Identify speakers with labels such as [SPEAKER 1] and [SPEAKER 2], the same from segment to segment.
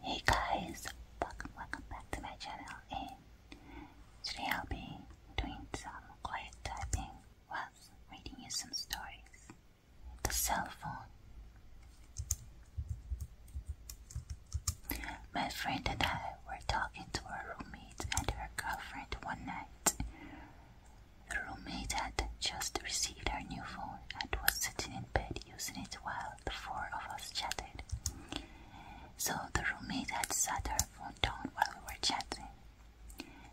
[SPEAKER 1] Hey guys, welcome, welcome back to my channel and today I'll be doing some quiet typing while reading you some stories. The cell phone. My friend and I were talking to our roommate and her girlfriend one night. The roommate had just received her new phone and was sitting in bed using it while the four of us chatted. So the roommate had set her phone down while we were chatting.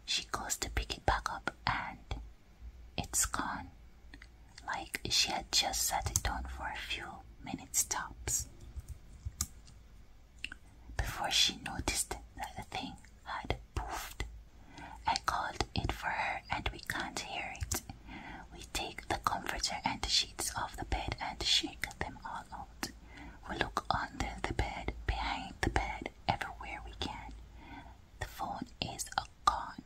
[SPEAKER 1] She goes to pick it back up and it's gone. Like she had just set it down for a few minutes tops. Before she noticed that the thing had poofed, I called not for her and we can't hear it. We take the comforter and the sheets off the bed and shake them all out. We look under the bed, behind the bed, everywhere we can. The phone is gone.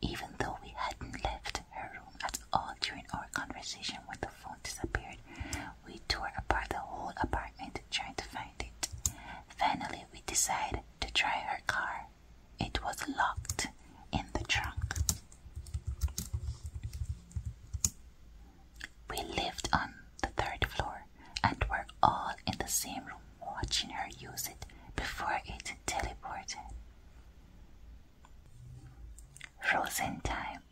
[SPEAKER 1] Even though we hadn't left her room at all during our conversation when the phone disappeared, we tore apart the whole apartment trying to find it. Finally, we decide to try her car. It was locked in the trunk. We lived on the third floor and were all in the same room watching her use it before it teleported. Frozen time.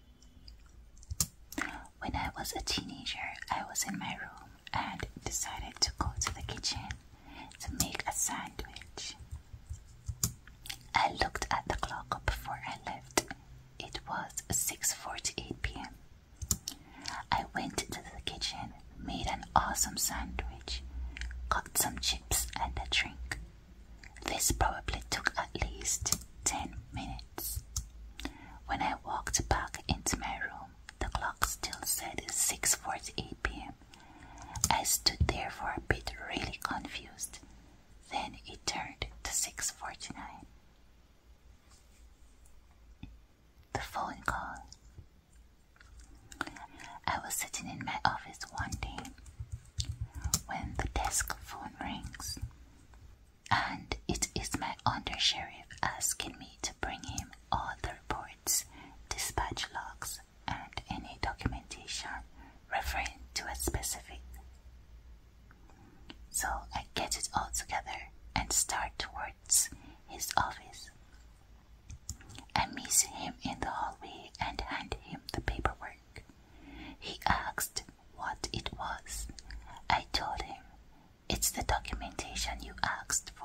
[SPEAKER 1] When I was a teenager, I was in my room and decided to go to the kitchen to make a sandwich. I looked at the clock before I left. It was 6:48 p.m. I went to the kitchen, made an awesome sandwich, cooked some chips and a drink. This probably took at least 10 minutes. When I walked back into my room, the clock still said 6:48 p.m. I stood there for a bit really confused. Then it turned to 649. The phone call. I was sitting in my office one day when the desk phone rings, and it is my undersheriff asking me to bring him all the reports, dispatch logs, and any documentation referring to a specific. So I get it all together and start towards his office. I meet him in the hallway and hand him the paperwork. He asked what it was. I told him, It's the documentation you asked for.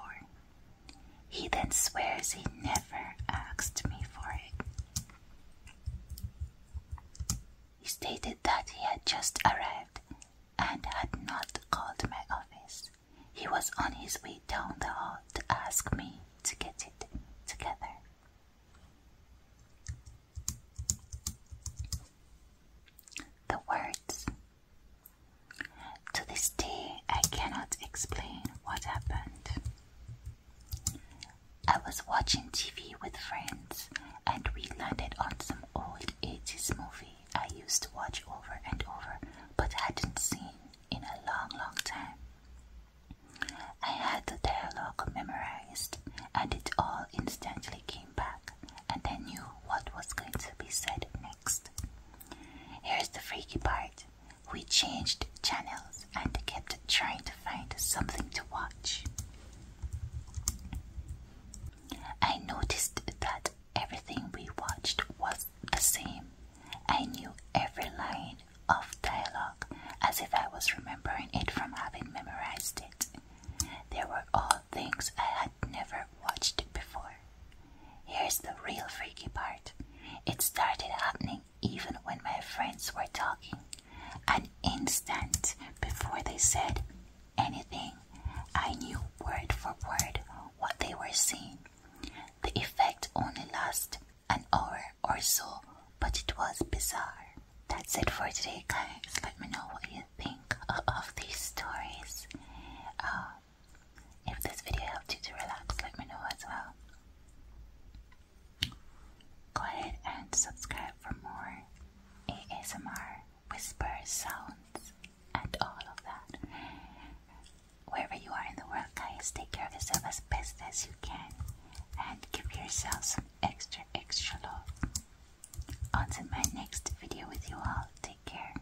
[SPEAKER 1] He then swears he never asked me for it. He stated that he had just arrived and had not called my office. He was on his way down the hall to ask me to get it together. The words to this day, I cannot explain what happened. I was watching TV with friends and we landed on some old 80s movie I used to watch over and over but hadn't seen in a long, long time. I had the dialogue memorized and it all instantly came back, and I knew what was going to be said next. Here's the freaky part we changed channels and kept trying to find something to watch. I noticed that everything we watched was the same. I knew every line of dialogue as if I was remembering it from having memorized it. There were all things I had never watched before. Here's the real freaky part. It started happening even when my friends were talking. An instant before they said anything, I knew word for word what they were saying. The effect only lasted an hour or so, but it was bizarre. That's it for today, guys. Let me know what you think of these stories. Uh, if this video helped you to relax, let me know as well. Go ahead and subscribe for more ASMR whispers, sounds, and all of that. Wherever you are in the world, guys, take care of yourself as best as you can and give yourself some extra, extra love. Until my next video with you all, take care.